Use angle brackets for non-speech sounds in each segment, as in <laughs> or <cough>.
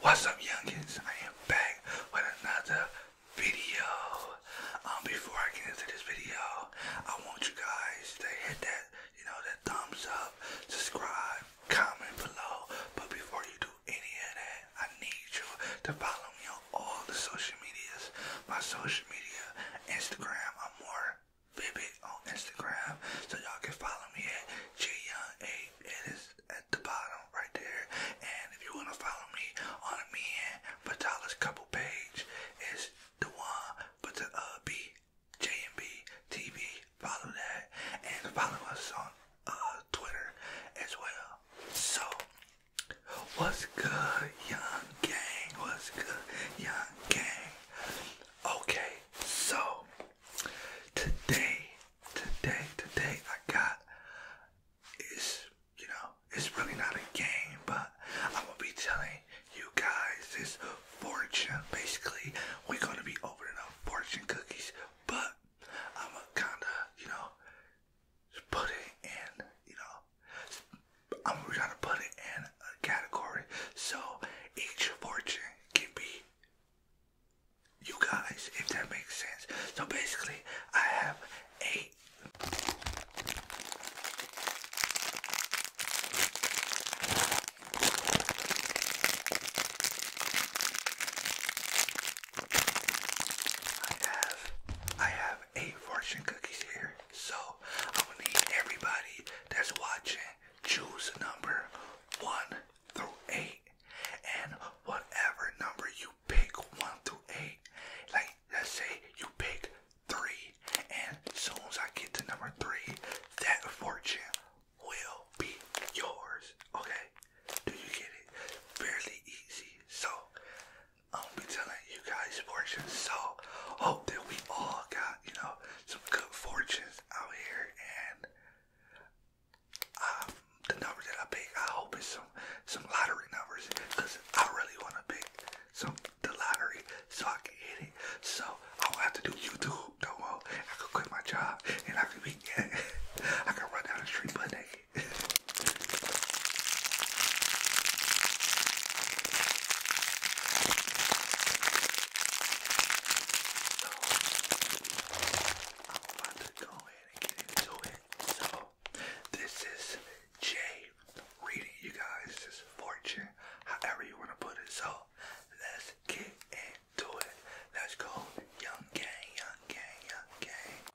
What's up, youngins? I am back with another video. Um, before I get into this video, I want you guys to hit that, you know, that thumbs up, subscribe, comment below. But before you do any of that. I need you to follow me on all the social medias. My social media, Instagram, I'm more vivid on Instagram. So y'all can follow me at GYoung8. It is at the bottom right there. And if you want to follow me on me and Patala's couple page, it's the one, but the uh, B, JMB Follow that. And follow us on uh, Twitter as well. So, what's good, young gang? What's good, young gang? Okay, so today, today, today, I got is you know it's really not a game, but I'm gonna be telling you guys this fortune. Basically, we're gonna be opening up fortune cookies, but I'm a kinda you know put it in, you know, I'm gonna put it in a category so each fortune can be you guys, if that makes sense. So basically, I have a. I have I have eight fortune cookies here, so I'm gonna need everybody that's watching choose a number one through eight, and whatever number you pick one through eight, like let's say you pick three, and as soon as I get to number three, that fortune will be yours. Okay, do you get it? Fairly easy. So I'm gonna be telling you guys fortunes. So hope that we all got, you know, some good fortunes out here and um, the number that I pick, I hope it's some some lottery numbers because I really want to pick some the lottery so I can hit it. So I won't have to do YouTube no more. I could quit my job and I could be, <laughs> I could run down the street, but nigga, so, I'm about to go ahead and get into it. So, this is Jay reading you guys his fortune, however you want to put it. So, let's get into it. Let's go, young gang, young gang, young gang.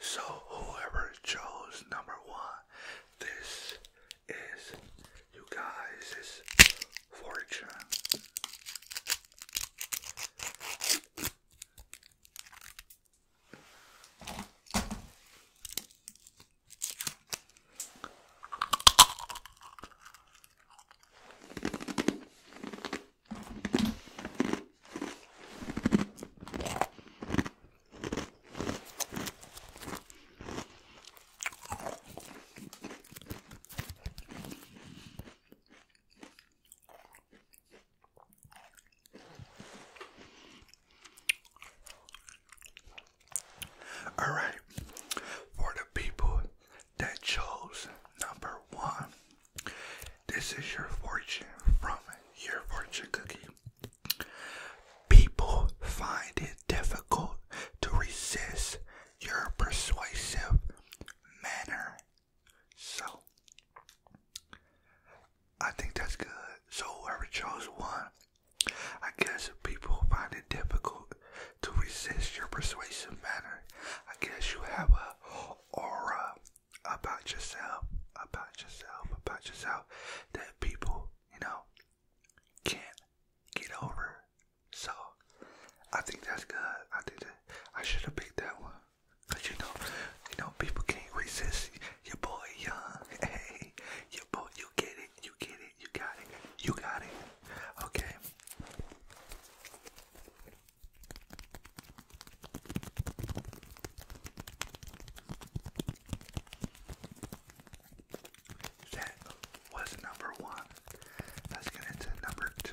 so, whoever chose number one, this is you guys' fortune. All right, for the people that chose number one. This is your fortune from your fortune cookie. People find it difficult to resist your persuasive manner. So, I think that's good. So, whoever chose one, I guess people find it difficult to resist your persuasive manner. I guess you have a aura about yourself, about yourself, about yourself that people, you know, can't get over. So I think that's good. I think I should have picked that one. Cause you know, you know, people can't resist your boy Young. <laughs> Hey, your boy, you get it, you get it, you got it, you got it. Okay. That was number one. Let's get into number two.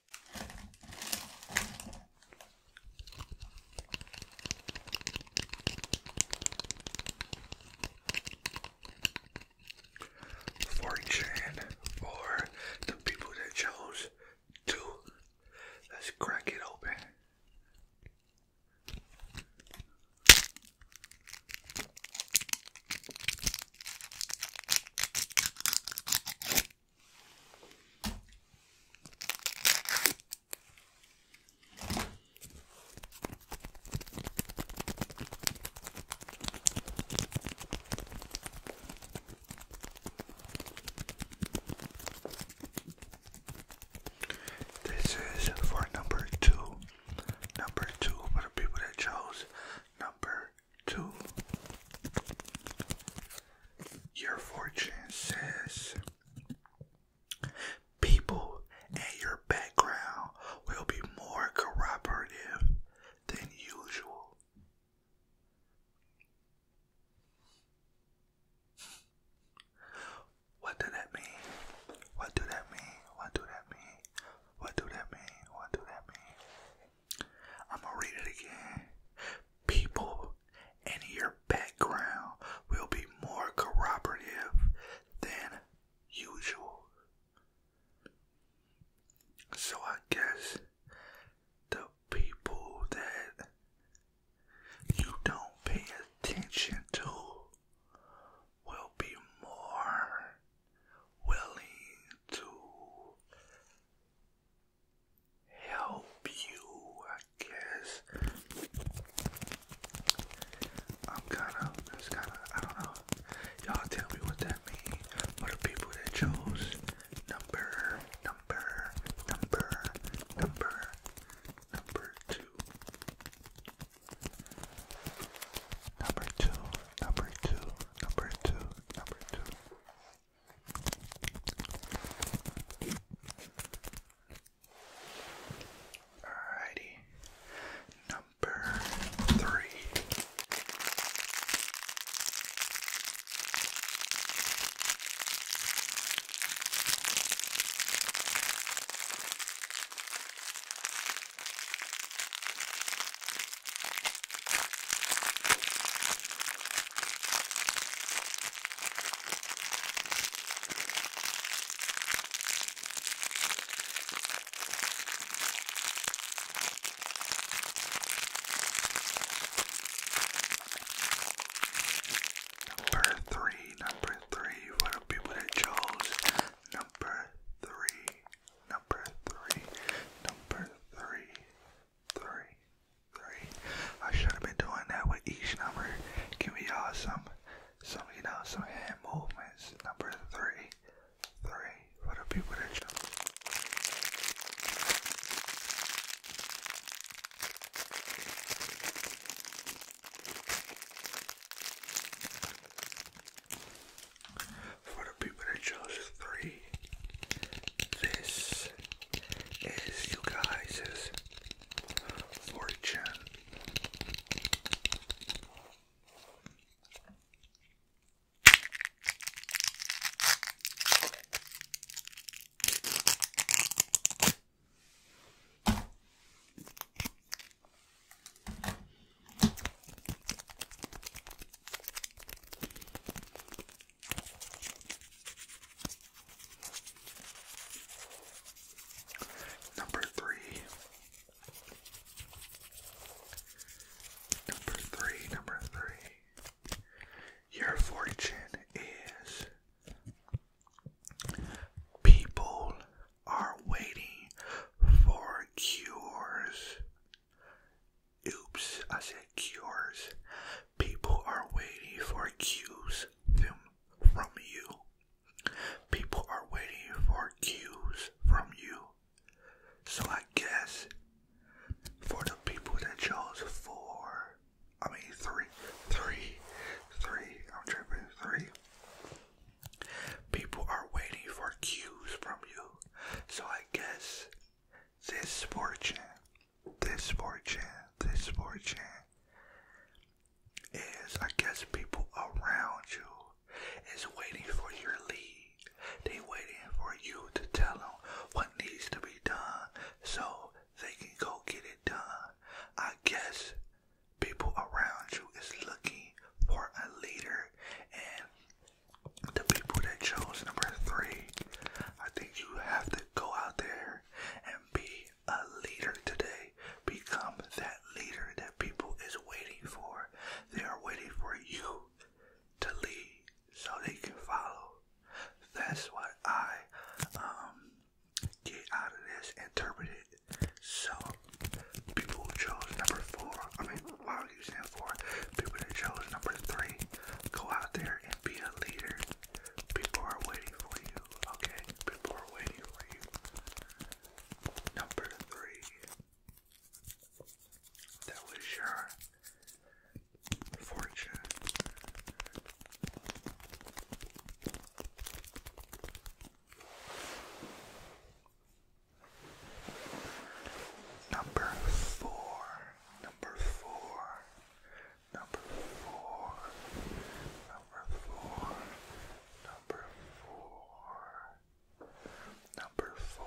Fortune for the people that chose to. Let's crack it open. This is for number two. Number two for the people that chose number two. Your fortune says people and your background will be more cooperative than usual. What do that mean? What do that mean? What do that mean? What do that mean? What do that mean? I'm gonna read it again. People and your background will be more corroborative than usual. So I guess the people that you don't pay attention to will be more willing to help you, I guess. I'm kind of, it's kind of, I don't know. Y'all tell me what that means for the people that chose number, number, number, number, number two. Number two, number two, number two, number two. Alrighty, number three. Number three, number three for the people that chose number three, number three, number three, three, three. I should have been doing that with each number. Give me y'all some, some, you know, some hand movements. Number three, three for the people lot people that chose three. This is you guys' fortune. Number three. Number three, number three. Your fortune is people are waiting for cures. Oops, I said cures. People are waiting for cues from you. People are waiting for cues from you. So I guess for the people that chose four, I mean three, three, three, I'm tripping three. People are waiting for cues from you. So I guess this fortune, this fortune, this fortune is, I guess, people around you is waiting for your lead. They waiting for you to tell them what needs to be done so they can go get it done. I guess people around you is looking for a leader and the people that chose number three, I think you have to go out there and be a leader today. Become that leader that people is waiting for. They are waiting for you to lead so they can follow. That's what I um get out of this Interpret it So people chose number four. I mean, why are you saying four? People that chose number three, go out there and be a leader. People are waiting for you, okay? People are waiting for you. Number three. That was your fortune. Number four number four, number four, number four, number four, number four.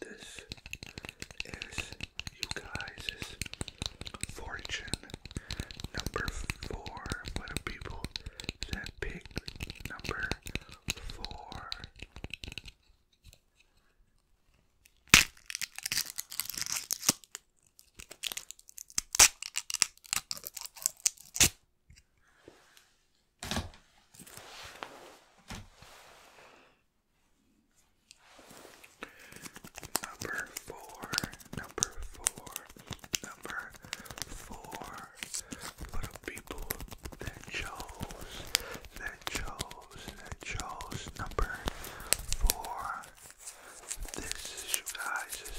This is you guys' fortune number four for people that picked number four. Number four, number four, number four. Little people that chose, that chose, that chose. Number four. This is you guys'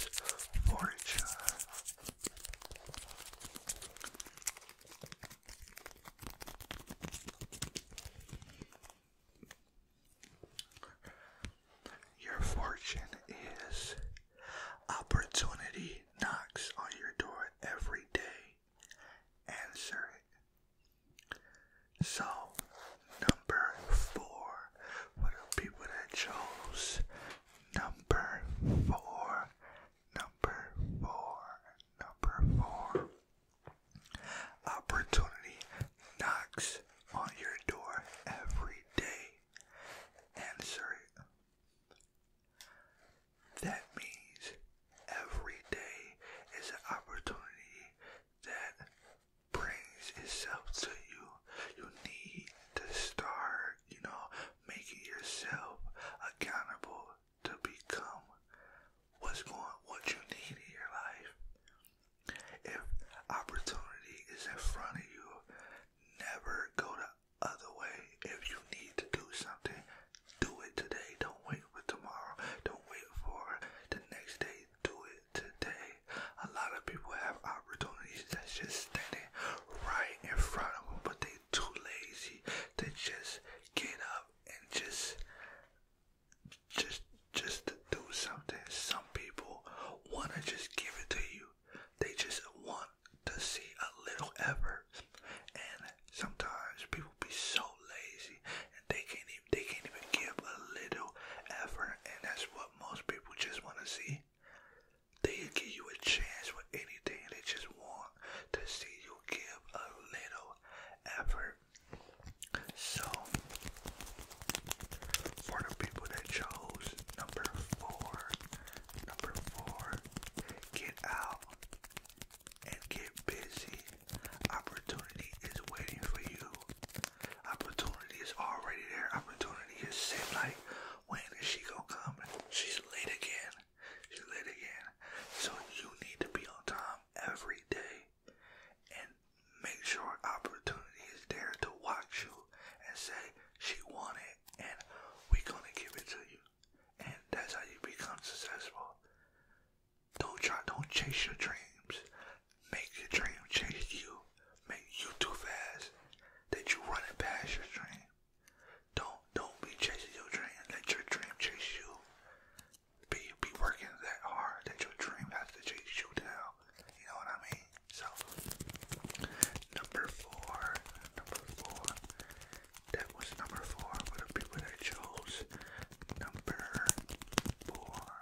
Your fortune is opportunity knocks on your door every day. Answer it. So, number four for the people that chose Number four, number four, number four. Opportunity knocks on your door every day. Answer it. That means every day is an opportunity that brings itself to you. You need to start, you know, making yourself accountable to become what's going what you need in your life. If opportunity is in front of you, never go the other way. If you need to do something, do it today. Don't wait for tomorrow. Don't wait for the next day. Do it today. A lot of people have opportunities that's just standing right in front of them, but they too lazy to just get up and just just just to do something. Some people wanna just give it to you. They just want to see a little effort. And sometimes people be so lazy and they can't even they can't even give a little effort and that's what most people just wanna see. They give you a chance with anything. They just want to see you give a little effort. So, for the people that chose number four, number four, get out and get busy. Opportunity is waiting for you. Opportunity is already there. Opportunity is sitting like when is she gonna come? She's late again. She's late again. So you need to be on time every day and make sure opportunity is there to watch you and say she won it and we gonna give it to you. And that's how you become successful. Don't try don't chase your dreams. Make your dream chase you. Make you too fast that you run it past your dream. Don't don't be chasing your dream. Let your dream chase you. Be be working that hard that your dream has to chase you down. You know what I mean? So number four, number four. That was number four for the people that chose number four.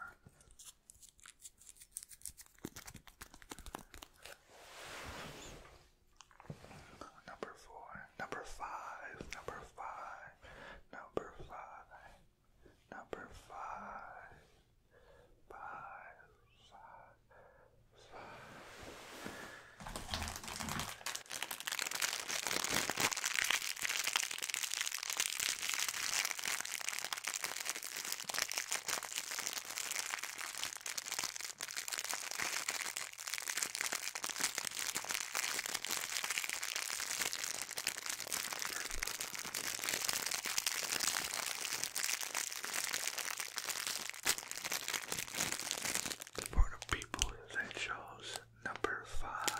Number four, number five, number five, number five, number five, five, five, five. The board of people that chose number five.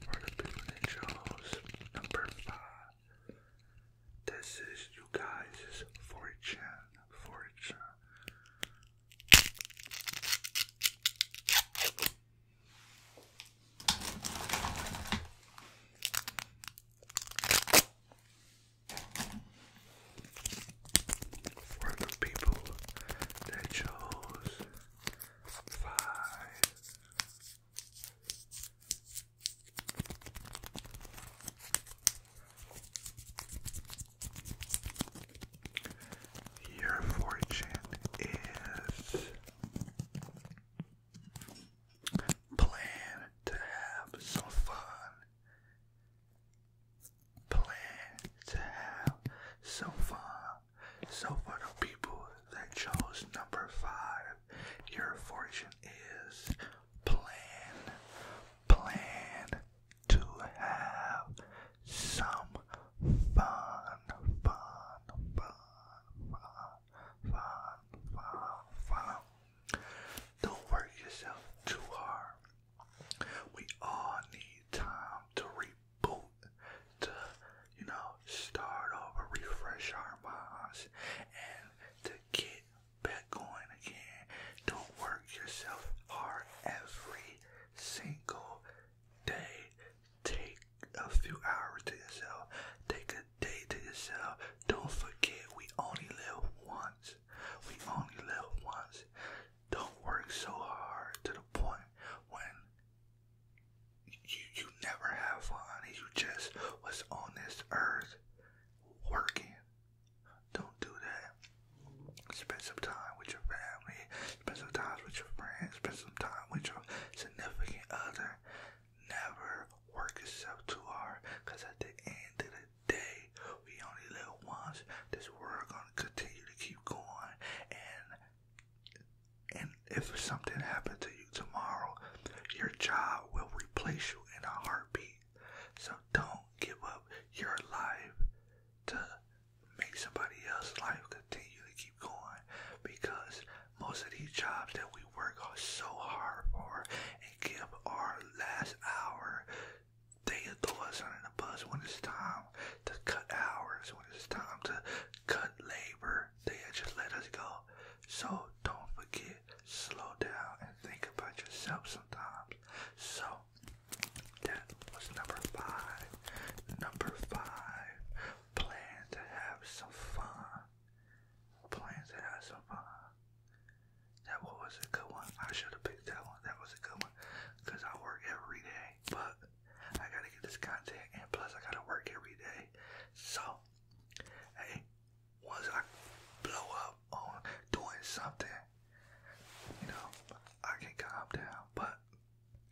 For the people that chose number five, this is you guys' fortune, fortune were the people that chose Your fortune is plan to have some fun plan to have some fun. So for the people that chose number five, your fortune is plan, plan to have some fun, fun, fun, fun, fun, fun, fun. Don't work yourself too hard. We all need time to reboot, to, you know, start over, refresh our minds, and to get back going again. Don't work yourself hard every single day. Take a few hours to yourself. Take a day to yourself. Don't forget, we only live once. We only live once don't work so hard to the point when you you never have fun. You just was on this earth working. Don't do that. Spend some time with your family. Spend some time with your friends. Spend some time with your significant other. Never work yourself too hard, cause at the end of it today. We only live once. This world gonna continue to keep going, and and if something happens to you tomorrow, your job will replace you in a heartbeat. So don't give up your life to make somebody else's life continue to keep going because most of these jobs that we work so hard for and give our last hour they throw us under the bus when it's time to cut hours, when it's time to cut labor. They just let us go. So don't forget, slow down and think about yourself sometimes. So that was number five. Number five, plan to have some fun. Plan to have some fun. That was a good one. I should have picked that one. That was a good one because I work every day. But I gotta get this content, and plus I gotta work every day. So, hey, once I blow up on doing something, you know, I can calm down. But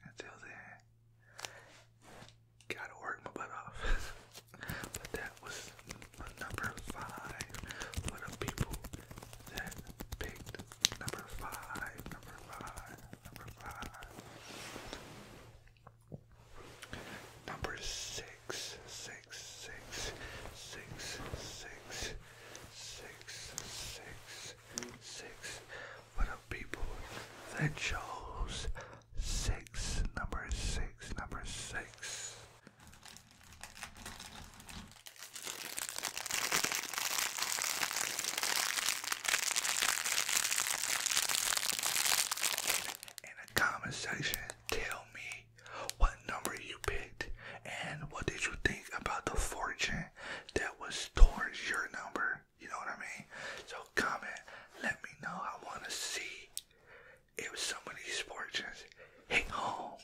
until then, gotta work my butt off. <laughs> but that was number five for the people that picked Number five, number five, number five. Number six, six, six, six, six, six, six, six. What up, people that chose six, number six, number six. In the comment section, tell me what number you picked and what did you think about the fortune that was towards your number. You know what I mean? So comment, let me know. I want to see if some of these fortunes hit home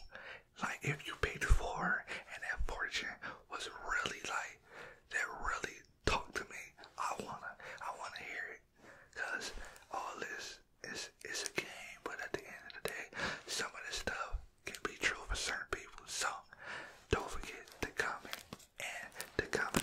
like if you paid four and that fortune was really like that really talked to me, I wanna I wanna hear it. Cause all this is is a game, but at the end of the day, some of this stuff can be true for certain people. So don't forget to comment and the comment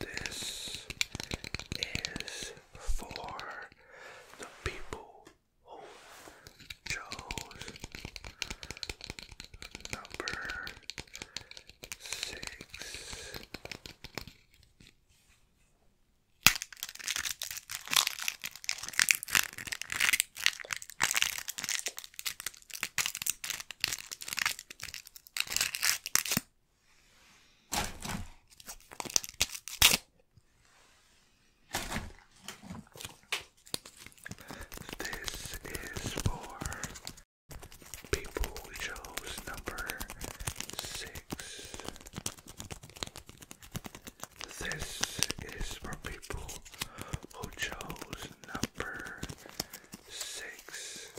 This is for the people who chose number six. This is for people who chose number six. This is for people who chose number six.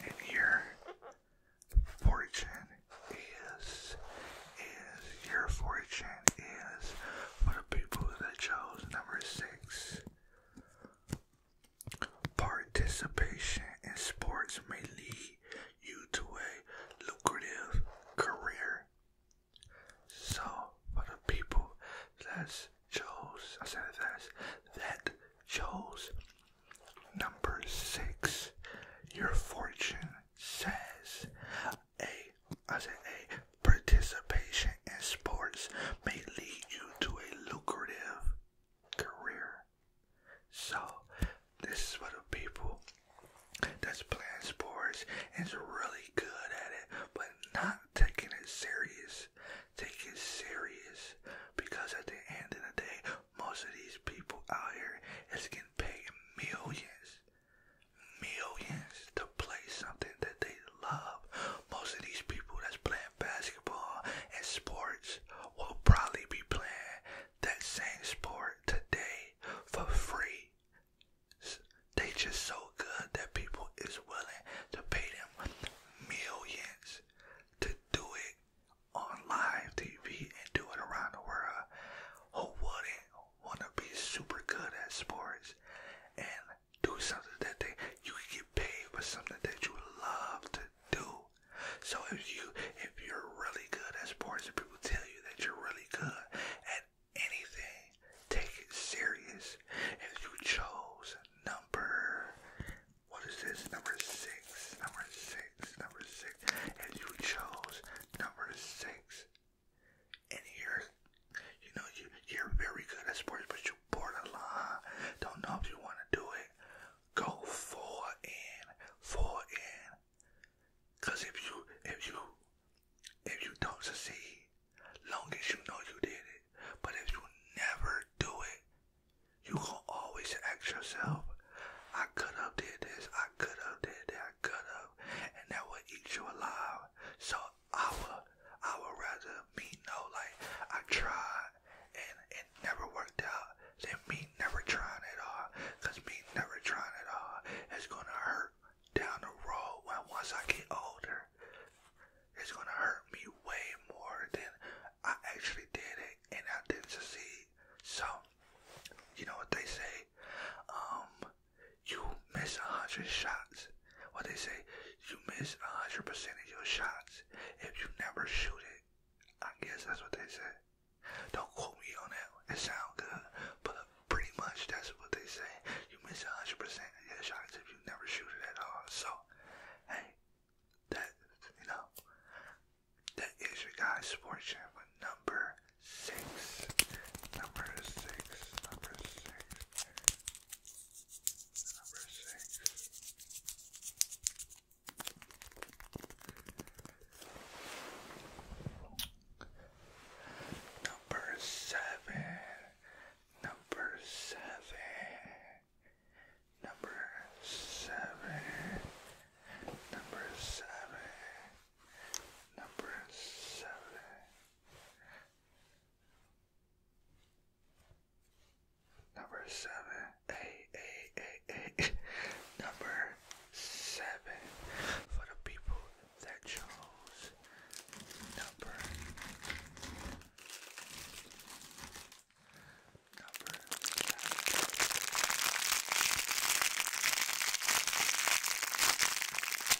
And your fortune is is your fortune is for the people that chose number six. Participation in sports may lead you to a lucrative career. So, for the people that chose, I said that, that chose number six, your fortune says a, I said a participation in sports may lead you to a lucrative career. So this is what the people that's playing sports and is really good at it, but not taking it serious. Take it serious because at the end of the day, most of these people out here is getting paid millions millions to play something that they love. Most of these people that's playing basketball and sports will probably be playing that same sport today for free. They just so good that people is willing to pay them millions to do it on live TV and do it around the world. Who wouldn't want to be super good at sports and do something that they you can get paid for something that you love to do. So if you if you're really good at sports and people tell you that you're really good at anything, take it serious. If you chose number what is this? Number six, number six, number six. If you chose number six, and here, you know, you, you're very good at sports, but you're lot. Don't know if you want to do it. Go full in, for it. Cause if you, if you, if you don't succeed, long as you know you did it. But if you never do it, you gonna always ask yourself, I could have did this, I could have did that, I could have, and that will eat you alive. So I would I would rather me know like I tried and it never worked out than me never trying at all. Cause me never trying at all is gonna hurt down the road when once I get older. It's gonna hurt me way more than I actually did it and I didn't succeed. So you know what they say? Um you miss a hundred shots. What they say, you miss a hundred percent of your shots if you never shoot it. I guess that's what they say. Don't quote me on that. It sounds good, but pretty much that's what they say. You miss a hundred percent of your shots if you never shoot it at all. So, hey, that you know, that is your guy's sports channel number six. Number six. Number six. Number six. Number seven. Number seven. Number seven. Number seven. Number seven. Number seven, eight, eight, eight, eight. Number seven for the people that chose number number seven.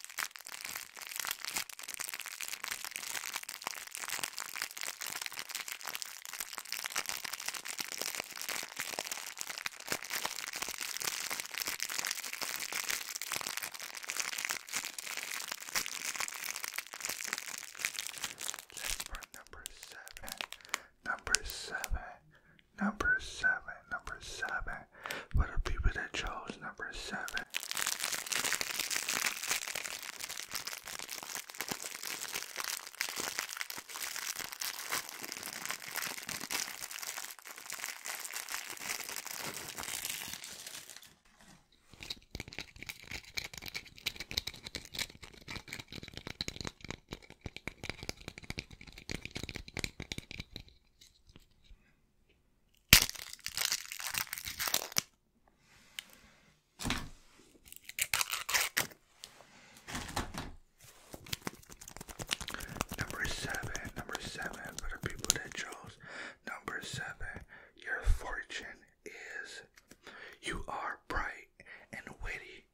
Let's number seven. Number seven. Number seven. Number seven. For the people that chose number seven. Number seven, number seven, for the people that chose number seven, your fortune is you are bright and witty.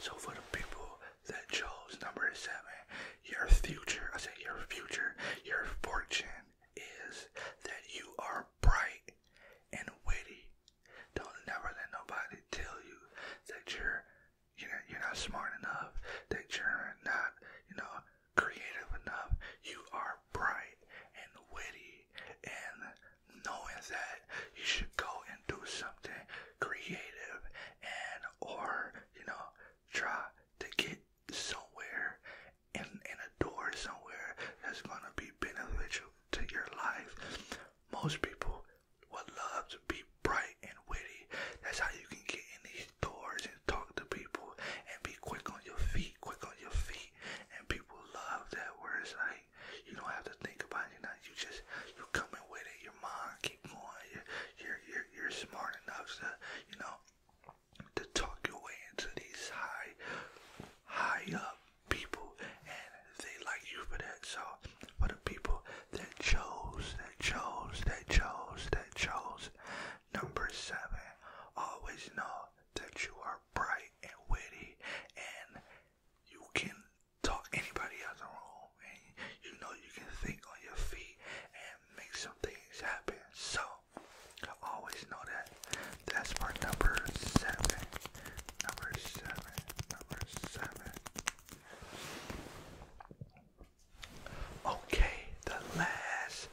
So for the people that chose number seven, your future, I say your future, your fortune is that you are bright and witty. Don't never let nobody tell you that you're you're you're not smart enough, that you're not, you know, creative enough. You are bright and witty and knowing that you should go and do something creative and or, you know, try to get somewhere in, in a door somewhere that's gonna be beneficial to your life. Most people would love to be bright and witty. That's how you can get in these doors and talk to people and be quick on your feet, quick on your feet. And people love that where it's like you don't have to think about it. You, know, you just you coming with it. Your mind keep going. You're you're you're, you're smart enough to you know to talk your way into these high, high up people, and they like you for that. So for the people that chose, that chose, that chose, that chose, number seven, always know that you are bright and witty, and you can talk anybody out else room. and you know you can think on your feet and make some things happen. So. Always know that. That's part number seven. Number seven. Number seven. Okay, the last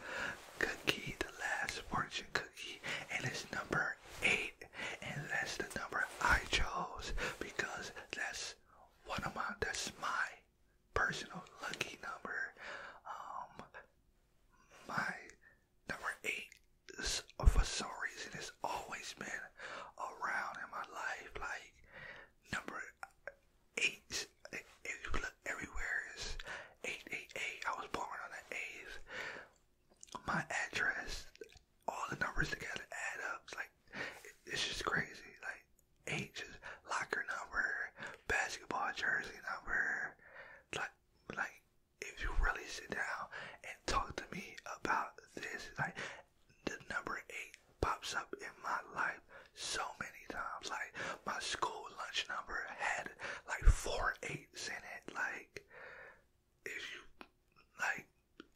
cookie, the last fortune cookie, and it's number eight. And that's the number I chose because that's one of my that's my personal lucky number. Um my number eight is, for some reason, it's always been around in my life. Like, number eight, if everywhere, is 888. I was born on the 8th. My address, all the numbers together add up. like, it's just crazy. Like, eight is locker number, basketball jersey number, like like if you really sit down and talk to me about this, like the number eight pops up in my life so many times. Like my school lunch number had like four eights in it. Like if you like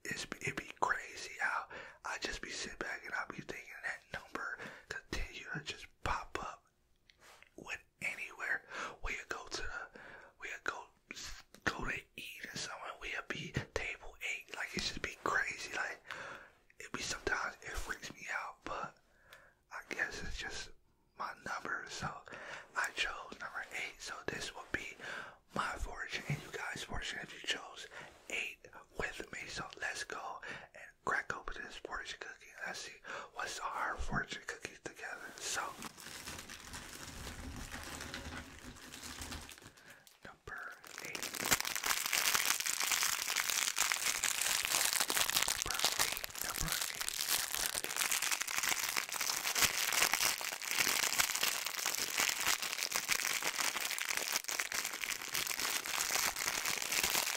it's it be crazy how I just be sitting back and I be thinking that number continue to just pop up with anywhere. We go to we go, go to eat or somewhere. We be table eight. Like it should be crazy. Like it be sometimes it freaks me out, but I guess it's just my number. So I chose number eight. So this will be my fortune and you guys' fortune if you chose eight with me. So let's go and crack open this fortune cookie. Let's see what's our fortune cookie together. So, number eight. Number eight. Number eight.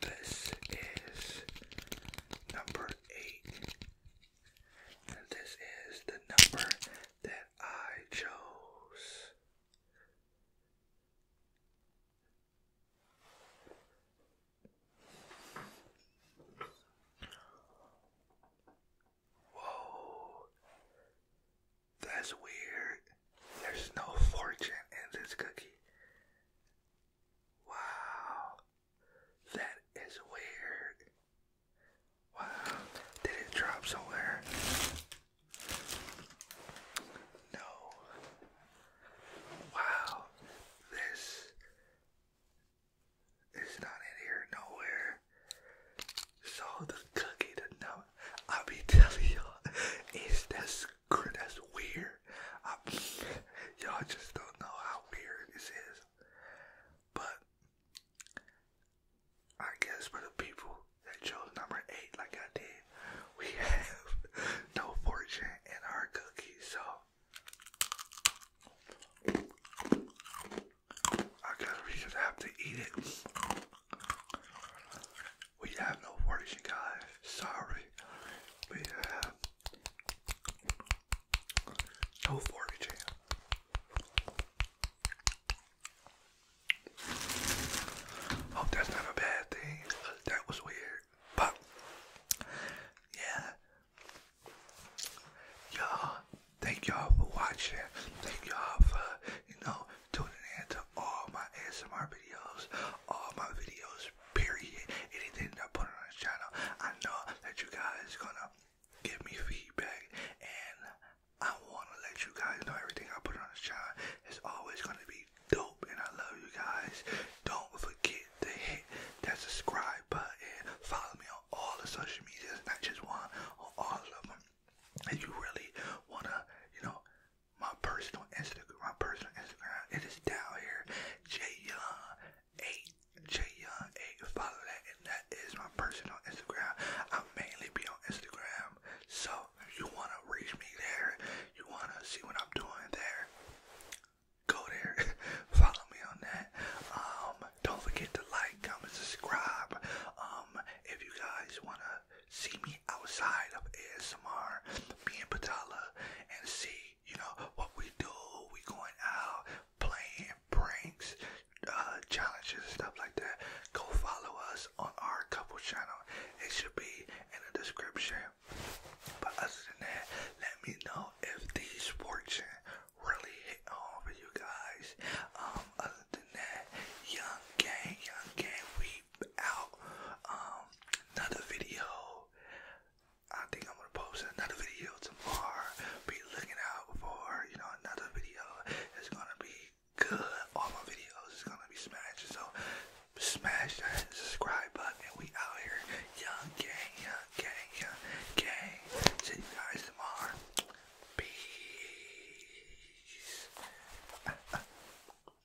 This is number eight. And this is the number that I chose. Whoa. That's weird. There's no fortune in this cookie. Wow. That is weird. Wow. Did it drop somewhere? No. Wow. This is not in here nowhere. So the cookie, the number, I'll be telling y'all, is the that's weird. <laughs> Y'all just don't know how weird this is. But I guess for the people that chose number eight, like I did, we <laughs> have no fortune in our cookies. So I guess we just have to eat it. We have no worries, guys. Sorry. We have no foraging. Hope that's not a bad thing. That was weird. But, yeah. Y'all, thank y'all for watching. Thank y'all for, you know, tuning in to all my ASMR videos, all my videos, period. Anything I put on this channel, I know that you guys gonna give me feedback and I wanna let you guys know everything I put on this channel is always gonna be dope and I love you guys. Don't forget to hit that subscribe button. Follow me on all the social medias, not just one, on all of them. If you really wanna, you know, my personal Instagram. My personal Instagram. It is down here. J Young Eight. J Young Eight. Follow that, and that is my personal Instagram. I mainly be on Instagram, so if you wanna reach me there, you wanna see what I'm doing there. Go there. <laughs> Follow me on that. Um, don't forget to like, comment, subscribe. Um, if you guys wanna see me outside of ASMR, me and Patala, and see, you know, what we do. We going out, playing pranks, uh, challenges, stuff like that. Go follow us on our couple channel. It should be in the description. But other than that, let me know if these fortune really hit home for you guys. Um, other than that, young gang, young gang, we out um, another video. I think I'm gonna post another video tomorrow. Be looking out for you know another video. It's gonna be good. All my videos is gonna be smashing. So smash that subscribe button. We out here, young gang, young gang, young gang. See you guys tomorrow. Peace. <laughs>